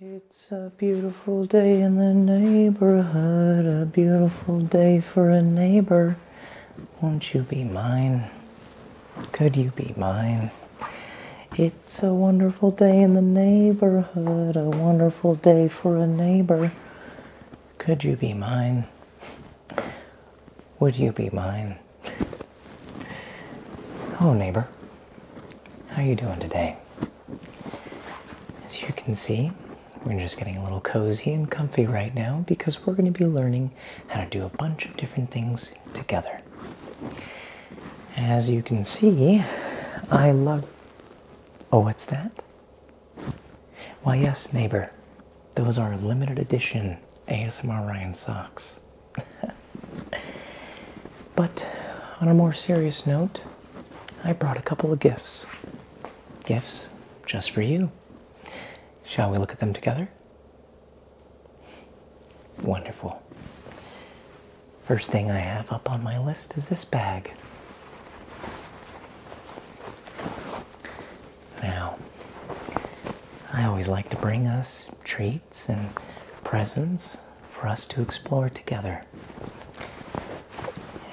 It's a beautiful day in the neighborhood, a beautiful day for a neighbor. Won't you be mine? Could you be mine? It's a wonderful day in the neighborhood, a wonderful day for a neighbor. Could you be mine? Would you be mine? Hello neighbor. How are you doing today? As you can see, we're just getting a little cozy and comfy right now because we're going to be learning how to do a bunch of different things together. As you can see, I love. Oh, what's that? Why, yes, neighbor, those are limited edition ASMR Ryan socks. But on a more serious note, I brought a couple of gifts. Gifts just for you. Shall we look at them together? Wonderful. First thing I have up on my list is this bag. Now, I always like to bring us treats and presents for us to explore together.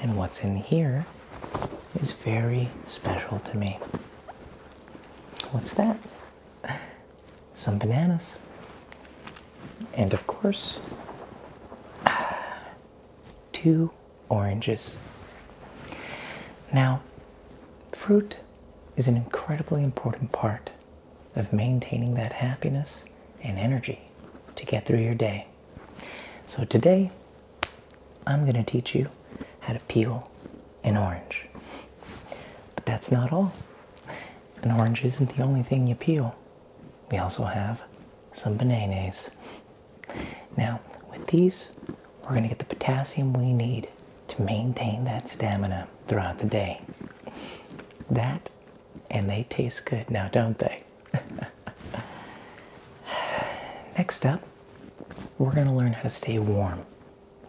And what's in here is very special to me. What's that? Some bananas. And of course, two oranges. Now, fruit is an incredibly important part of maintaining that happiness and energy to get through your day. So today, I'm going to teach you how to peel an orange. But that's not all. An orange isn't the only thing you peel. We also have some bananas. Now, with these, we're going to get the potassium we need to maintain that stamina throughout the day. That and they taste good now, don't they? Next up, we're going to learn how to stay warm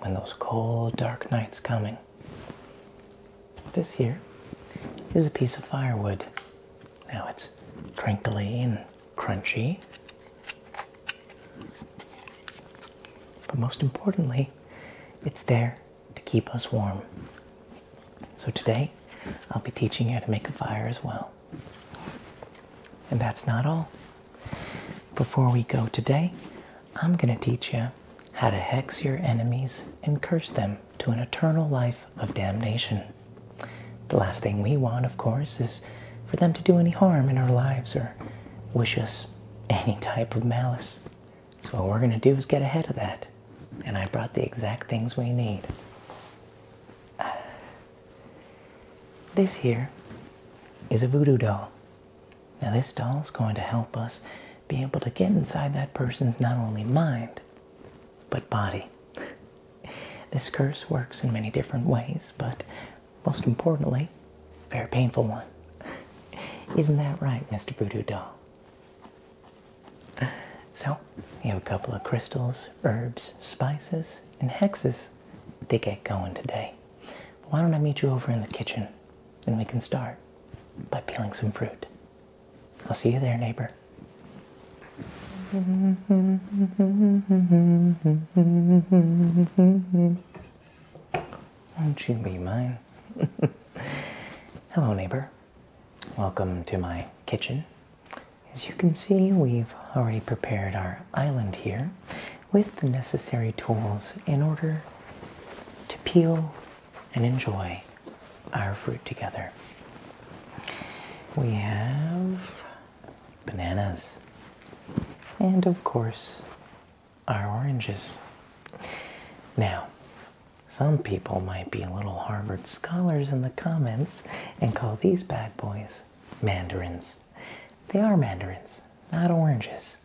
when those cold, dark nights coming. This here is a piece of firewood. Now it's crinkly and crunchy. But most importantly, it's there to keep us warm. So today, I'll be teaching you how to make a fire as well. And that's not all. Before we go today, I'm going to teach you how to hex your enemies and curse them to an eternal life of damnation. The last thing we want, of course, is for them to do any harm in our lives or wish us any type of malice. So what we're going to do is get ahead of that. And I brought the exact things we need. This here is a voodoo doll. Now this doll is going to help us be able to get inside that person's not only mind, but body. This curse works in many different ways, but most importantly, a very painful one. Isn't that right, Mr. Voodoo Doll? So, you have a couple of crystals, herbs, spices, and hexes to get going today. But why don't I meet you over in the kitchen and we can start by peeling some fruit? I'll see you there, neighbor. Won't you be mine? Hello, neighbor. Welcome to my kitchen. As you can see, we've already prepared our island here with the necessary tools in order to peel and enjoy our fruit together. We have bananas and, of course, our oranges. Now, some people might be little Harvard scholars in the comments and call these bad boys mandarins. They are mandarins, not oranges.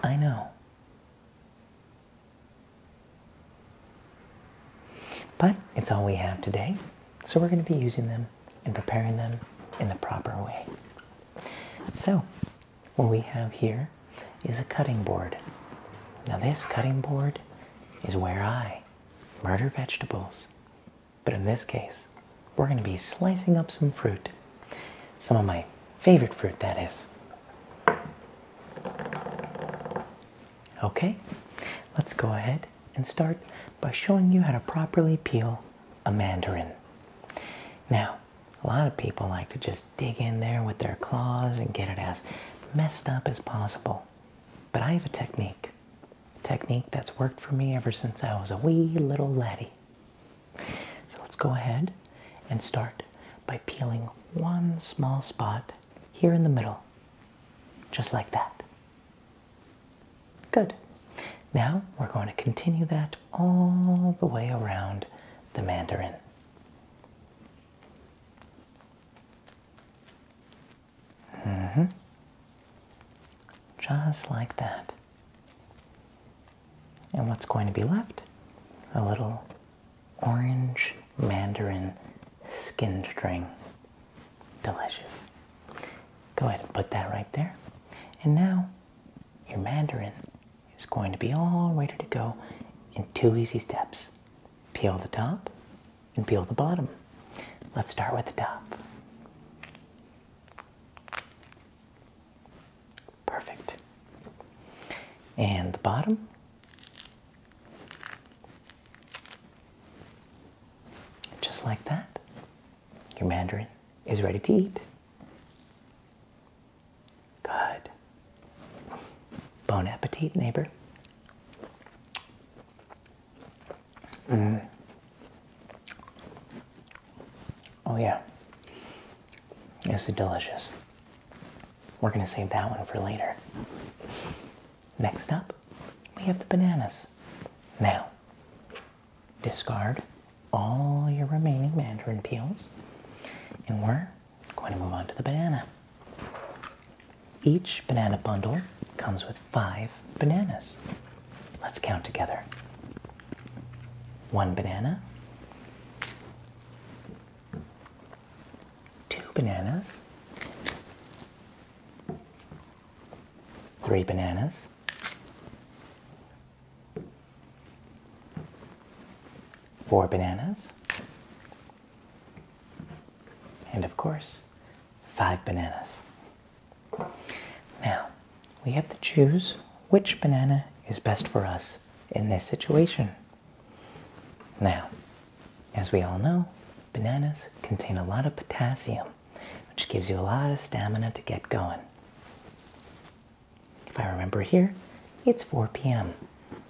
I know. But it's all we have today, so we're going to be using them and preparing them in the proper way. So, what we have here is a cutting board. Now, this cutting board is where I murder vegetables. But in this case, we're going to be slicing up some fruit. Some of my favorite fruit, that is. Okay, let's go ahead and start by showing you how to properly peel a mandarin. Now, a lot of people like to just dig in there with their claws and get it as messed up as possible. But I have a technique. technique that's worked for me ever since I was a wee little laddie. So let's go ahead and start by peeling one small spot here in the middle, just like that. Good. Now we're going to continue that all the way around the mandarin hmm Just like that. And what's going to be left? A little orange mandarin skin string. Delicious. Go ahead and put that right there. And now your mandarin is going to be all ready to go in two easy steps peel the top and peel the bottom. Let's start with the top. Perfect. And the bottom. Just like that, your mandarin is ready to eat. Good. Bon appetit, neighbor. Mm. Oh, yeah. This is delicious. We're going to save that one for later. Next up, we have the bananas. Now, discard all your remaining mandarin peels, and we're going to move on to the banana. Each banana bundle comes with five bananas. Let's count together. One banana, two bananas, three bananas, four bananas, and of course, five bananas. Now, we have to choose which banana is best for us in this situation. Now, as we all know, bananas contain a lot of potassium, which gives you a lot of stamina to get going. If I remember here, it's 4 p.m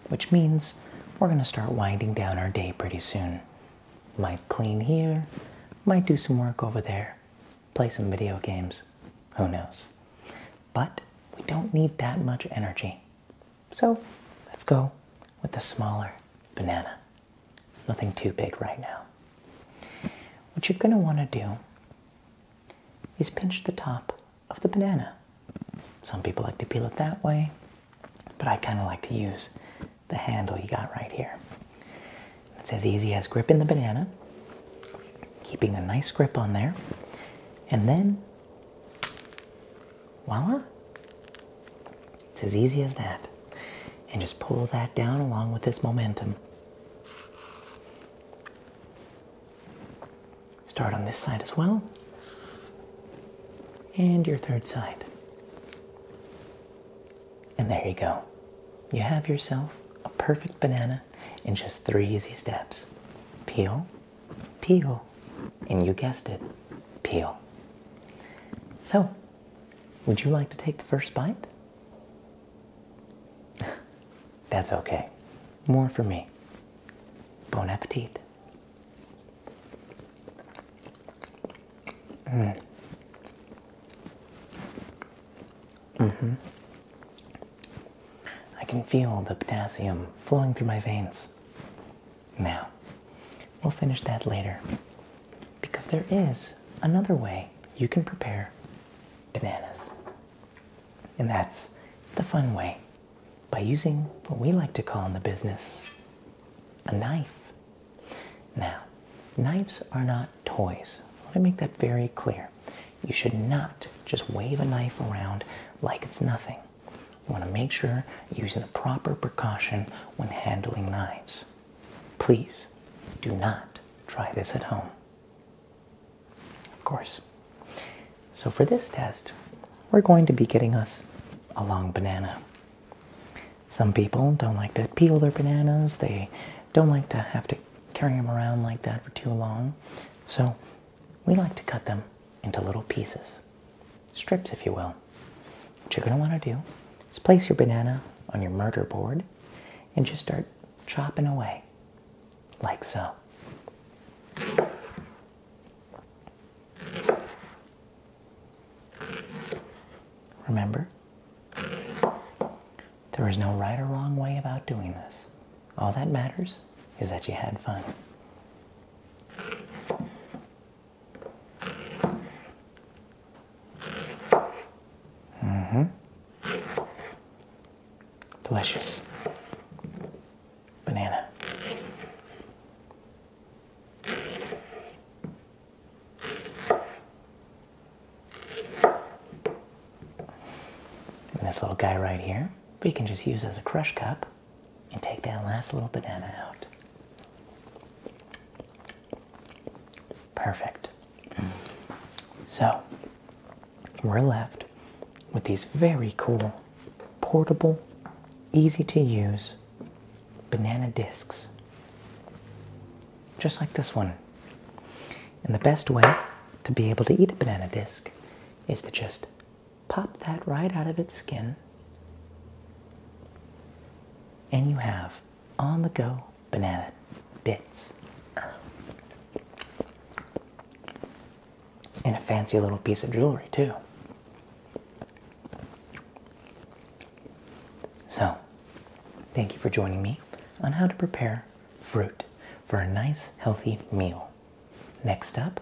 which means we're going to start winding down our day pretty soon. Might clean here, might do some work over there, play some video games, who knows. But we don't need that much energy. So let's go with the smaller banana. Nothing too big right now. What you're going to want to do is pinch the top of the banana. Some people like to peel it that way, but I kind of like to use the handle you got right here. It's as easy as gripping the banana, keeping a nice grip on there, and then voila! It's as easy as that. And just pull that down along with this momentum. Start on this side as well. And your third side. And there you go. You have yourself a perfect banana in just three easy steps. Peel, peel, and you guessed it, peel. So, would you like to take the first bite? That's okay. More for me. Bon appetit. Mm. mm I can feel the potassium flowing through my veins. Now, we'll finish that later because there is another way you can prepare bananas, and that's the fun way by using what we like to call in the business a knife. Now, knives are not toys. Let me make that very clear. You should not just wave a knife around like it's nothing. You want to make sure you're using the proper precaution when handling knives. Please do not try this at home. Of course, so for this test, we're going to be getting us a long banana. Some people don't like to peel their bananas. They don't like to have to carry them around like that for too long. So we like to cut them into little pieces, strips if you will. What you're going to want to do is place your banana on your murder board and just start chopping away like so. Remember? There is no right or wrong way about doing this. All that matters is that you had fun. Mm-hmm. Delicious. Banana. And this little guy right here, we can just use as a crush cup and take that last little banana out. Perfect. So we're left with these very cool portable, easy to use banana discs. Just like this one. And the best way to be able to eat a banana disc is to just pop that right out of its skin, and you have on the go banana bits and a fancy little piece of jewelry, too. So, thank you for joining me on how to prepare fruit for a nice, healthy meal. Next up,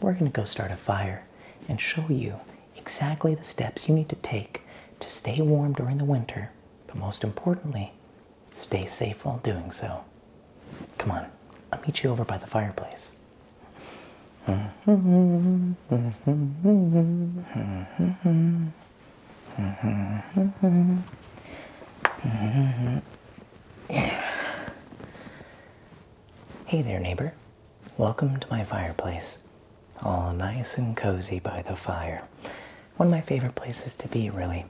we're going to go start a fire and show you exactly the steps you need to take to stay warm during the winter, but most importantly, stay safe while doing so. Come on, I'll meet you over by the fireplace. Hey there, neighbor. Welcome to my fireplace. All nice and cozy by the fire. One of my favorite places to be, really.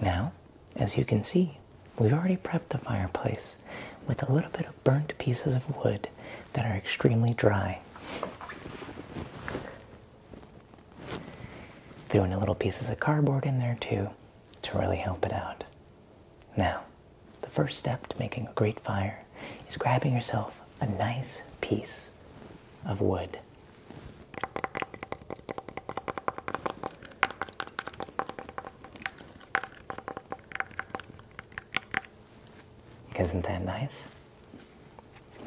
Now, as you can see, We've already prepped the fireplace with a little bit of burnt pieces of wood that are extremely dry. Throwing a little pieces of cardboard in there too to really help it out. Now, the first step to making a great fire is grabbing yourself a nice piece of wood. Isn't that nice?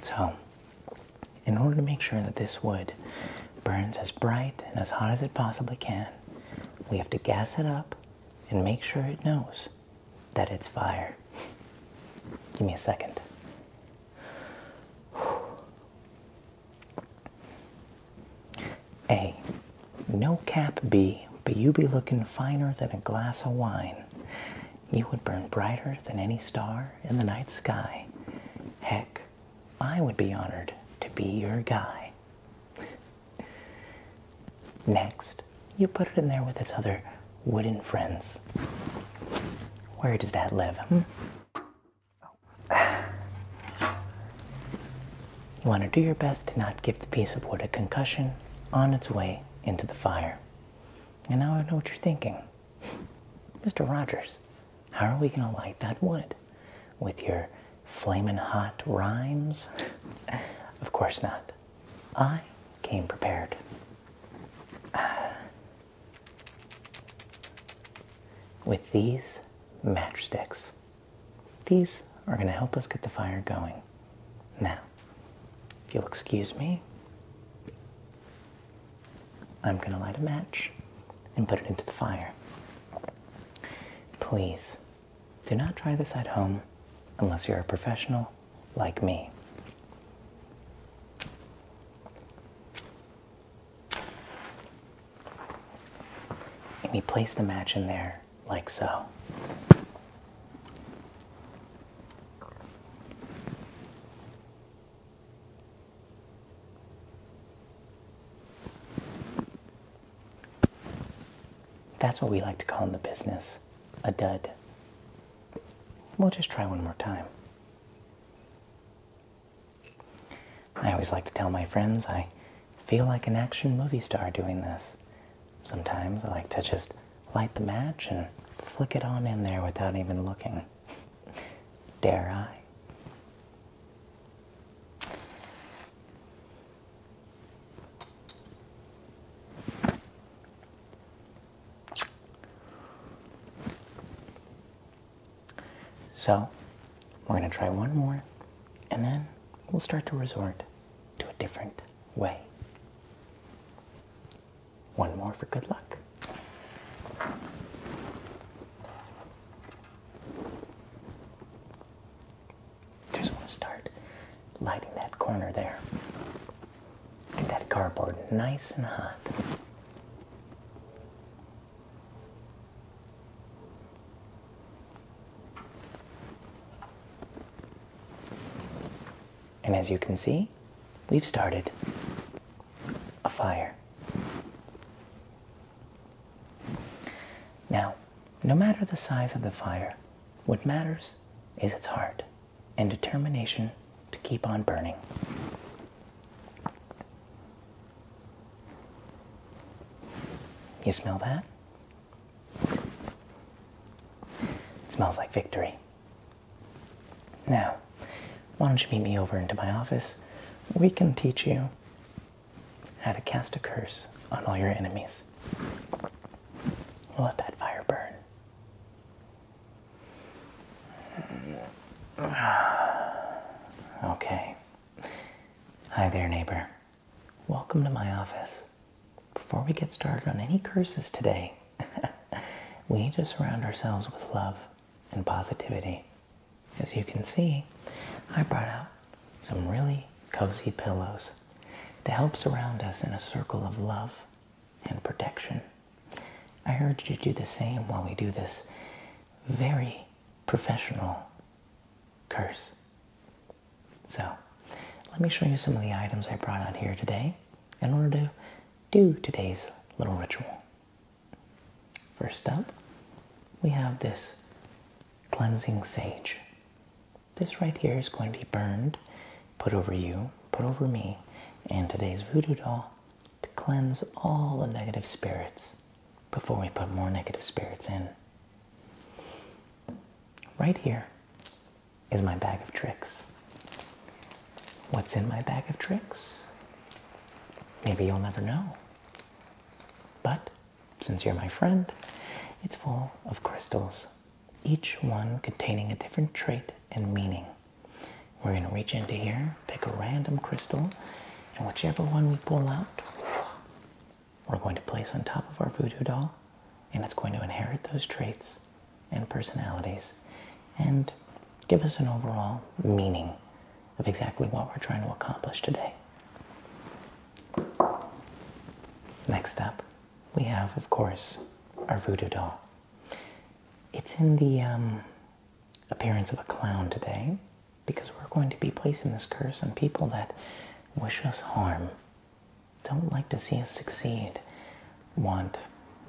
So, in order to make sure that this wood burns as bright and as hot as it possibly can, we have to gas it up and make sure it knows that it's fire. Give me a second. A. No cap B, but you be looking finer than a glass of wine. You would burn brighter than any star in the night sky. Heck, I would be honored to be your guy. Next, you put it in there with its other wooden friends. Where does that live? Hmm? You want to do your best to not give the piece of wood a concussion on its way into the fire. And now I know what you're thinking. Mr. Rogers, how are we going to light that wood? With your flaming hot rhymes? of course not. I came prepared. With these matchsticks. These are going to help us get the fire going. Now, if you'll excuse me, I'm going to light a match and put it into the fire. Please do not try this at home unless you're a professional like me. And we place the match in there like so. That's what we like to call in the business a dud. We'll just try one more time. I always like to tell my friends I feel like an action movie star doing this. Sometimes I like to just light the match and flick it on in there without even looking. Dare I? So, we're going to try one more, and then we'll start to resort to a different way. One more for good luck. Just want to start lighting that corner there. Get that cardboard nice and hot. And as you can see, we've started a fire. Now, no matter the size of the fire, what matters is its heart and determination to keep on burning. You smell that? It smells like victory. Now, why don't you meet me over into my office? We can teach you how to cast a curse on all your enemies. We'll let that fire burn. Okay. Hi there, neighbor. Welcome to my office. Before we get started on any curses today, we need to surround ourselves with love and positivity. As you can see, I brought out some really cozy pillows to help surround us in a circle of love and protection. I urge you to do the same while we do this very professional curse. So let me show you some of the items I brought out here today in order to do today's little ritual. First up, we have this cleansing sage. This right here is going to be burned, put over you, put over me, and today's voodoo doll to cleanse all the negative spirits before we put more negative spirits in. Right here is my bag of tricks. What's in my bag of tricks? Maybe you'll never know. But since you're my friend, it's full of crystals, each one containing a different trait and meaning. We're going to reach into here, pick a random crystal, and whichever one we pull out, we're going to place on top of our voodoo doll, and it's going to inherit those traits and personalities and give us an overall meaning of exactly what we're trying to accomplish today. Next up, we have, of course, our voodoo doll. It's in the um, appearance of a clown today because we're going to be placing this curse on people that wish us harm, don't like to see us succeed, want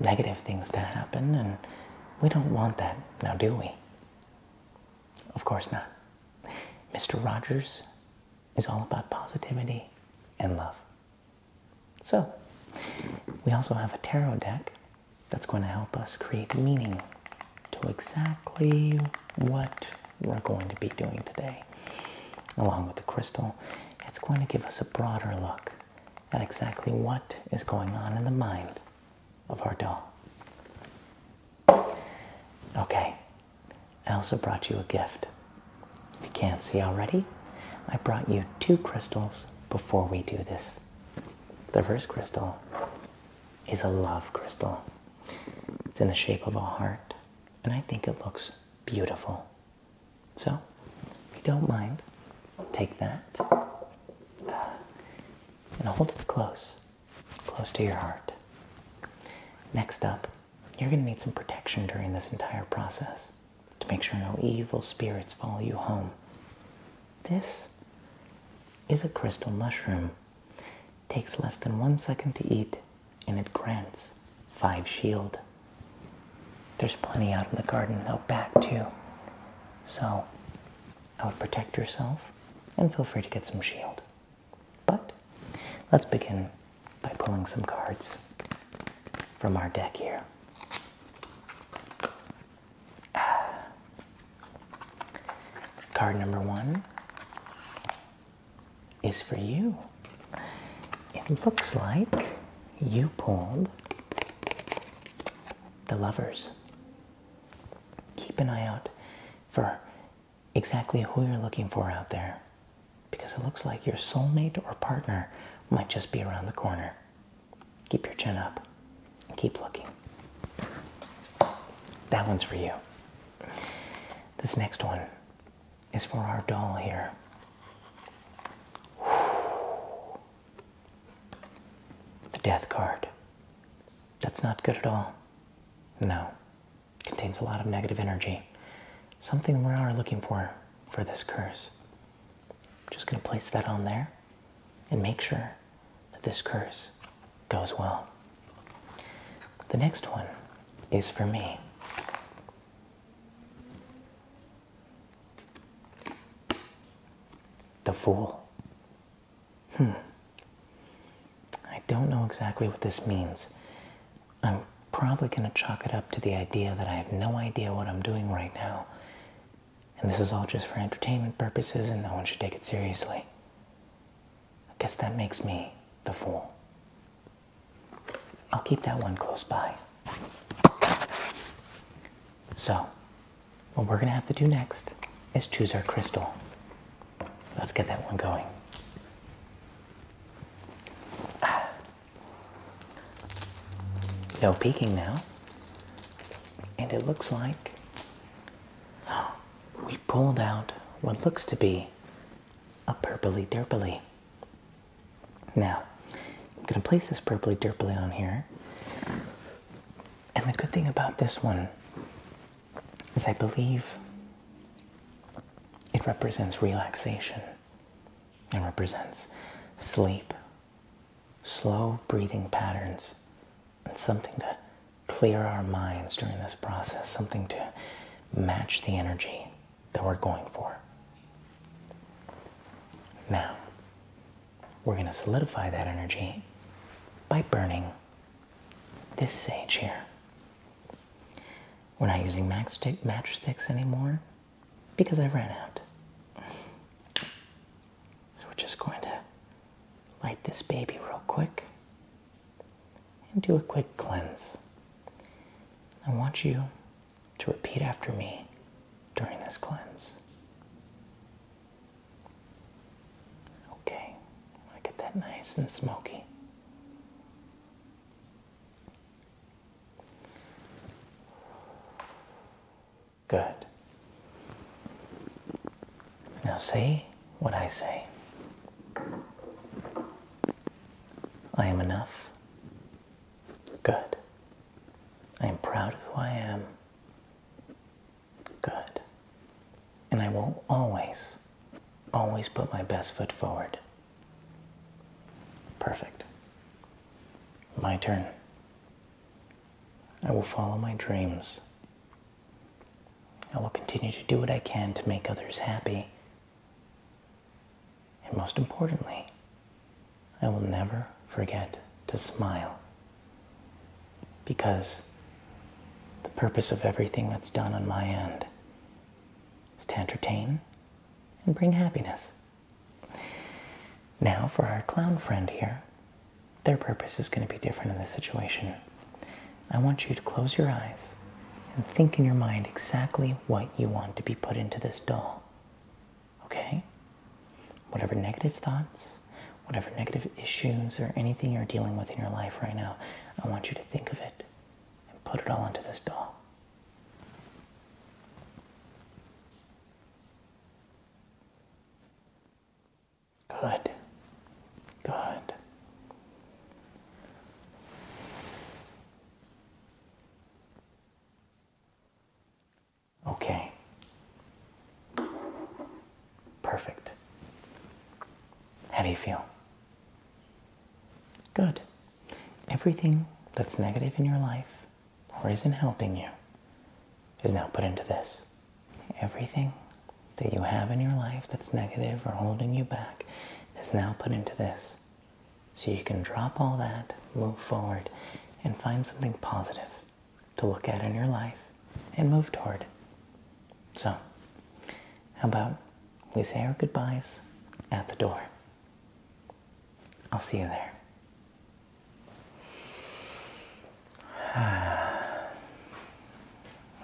negative things to happen, and we don't want that now, do we? Of course not. Mr. Rogers is all about positivity and love. So, we also have a tarot deck that's going to help us create meaning to exactly what we're going to be doing today. Along with the crystal, it's going to give us a broader look at exactly what is going on in the mind of our doll. Okay, I also brought you a gift. you can't see already, I brought you two crystals before we do this. The first crystal is a love crystal. It's in the shape of a heart and I think it looks beautiful. So, if you don't mind, take that uh, and hold it close, close to your heart. Next up, you're going to need some protection during this entire process to make sure no evil spirits follow you home. This is a crystal mushroom Takes less than one second to eat, and it grants five shield. There's plenty out in the garden out back, too. So, I would protect yourself and feel free to get some shield. But let's begin by pulling some cards from our deck here. Ah. Card number one is for you. It looks like you pulled the lovers. Keep an eye out for exactly who you're looking for out there because it looks like your soulmate or partner might just be around the corner. Keep your chin up and keep looking. That one's for you. This next one is for our doll here. The death card. That's not good at all. No. Contains a lot of negative energy. Something we are looking for for this curse. I'm just going to place that on there and make sure that this curse goes well. The next one is for me. The Fool. Hmm. I don't know exactly what this means. I'm probably going to chalk it up to the idea that I have no idea what I'm doing right now. And this is all just for entertainment purposes, and no one should take it seriously. I guess that makes me the fool. I'll keep that one close by. So, what we're gonna have to do next is choose our crystal. Let's get that one going. No ah. peeking now. And it looks like we pulled out what looks to be a purpley derpily. Now, I'm going to place this purpley derpily on here. And the good thing about this one is I believe it represents relaxation and represents sleep, slow breathing patterns, and something to clear our minds during this process, something to match the energy that we're going for. Now, we're going to solidify that energy by burning this sage here. We're not using matchsticks anymore because I ran out. So we're just going to light this baby real quick and do a quick cleanse. I want you to repeat after me during this cleanse. Okay, I get that nice and smoky. Good. Now see what I say. I am enough. Good. I am proud of who I am. Good. And I will always, always put my best foot forward. Perfect. My turn. I will follow my dreams. I will continue to do what I can to make others happy and most importantly, I will never forget to smile because the purpose of everything that's done on my end is to entertain and bring happiness. Now, for our clown friend here, their purpose is going to be different in this situation. I want you to close your eyes and think in your mind exactly what you want to be put into this doll. Okay? Whatever negative thoughts, whatever negative issues, or anything you're dealing with in your life right now, I want you to think of it and put it all into this doll. Good. Good. Okay. Perfect. How do you feel? Good. Everything that's negative in your life or isn't helping you is now put into this. Everything that you have in your life that's negative or holding you back is now put into this. So you can drop all that, move forward, and find something positive to look at in your life and move toward. So, how about we say our goodbyes at the door? I'll see you there.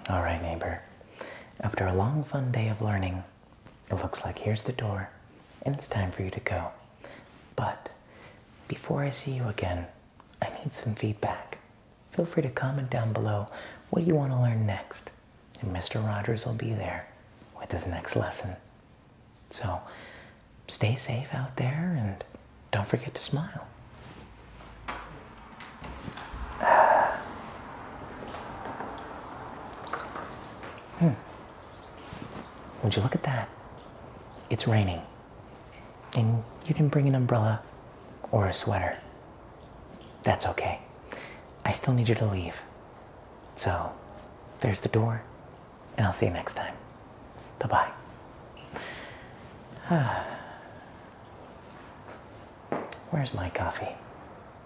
All right, neighbor. After a long, fun day of learning, it looks like here's the door, and it's time for you to go. But before I see you again, I need some feedback. Feel free to comment down below what do you want to learn next, and Mr. Rogers will be there with his next lesson. So stay safe out there and don't forget to smile. Hmm. Would you look at that? It's raining. And you didn't bring an umbrella or a sweater. That's okay. I still need you to leave. So, there's the door, and I'll see you next time. Bye bye. Where's my coffee?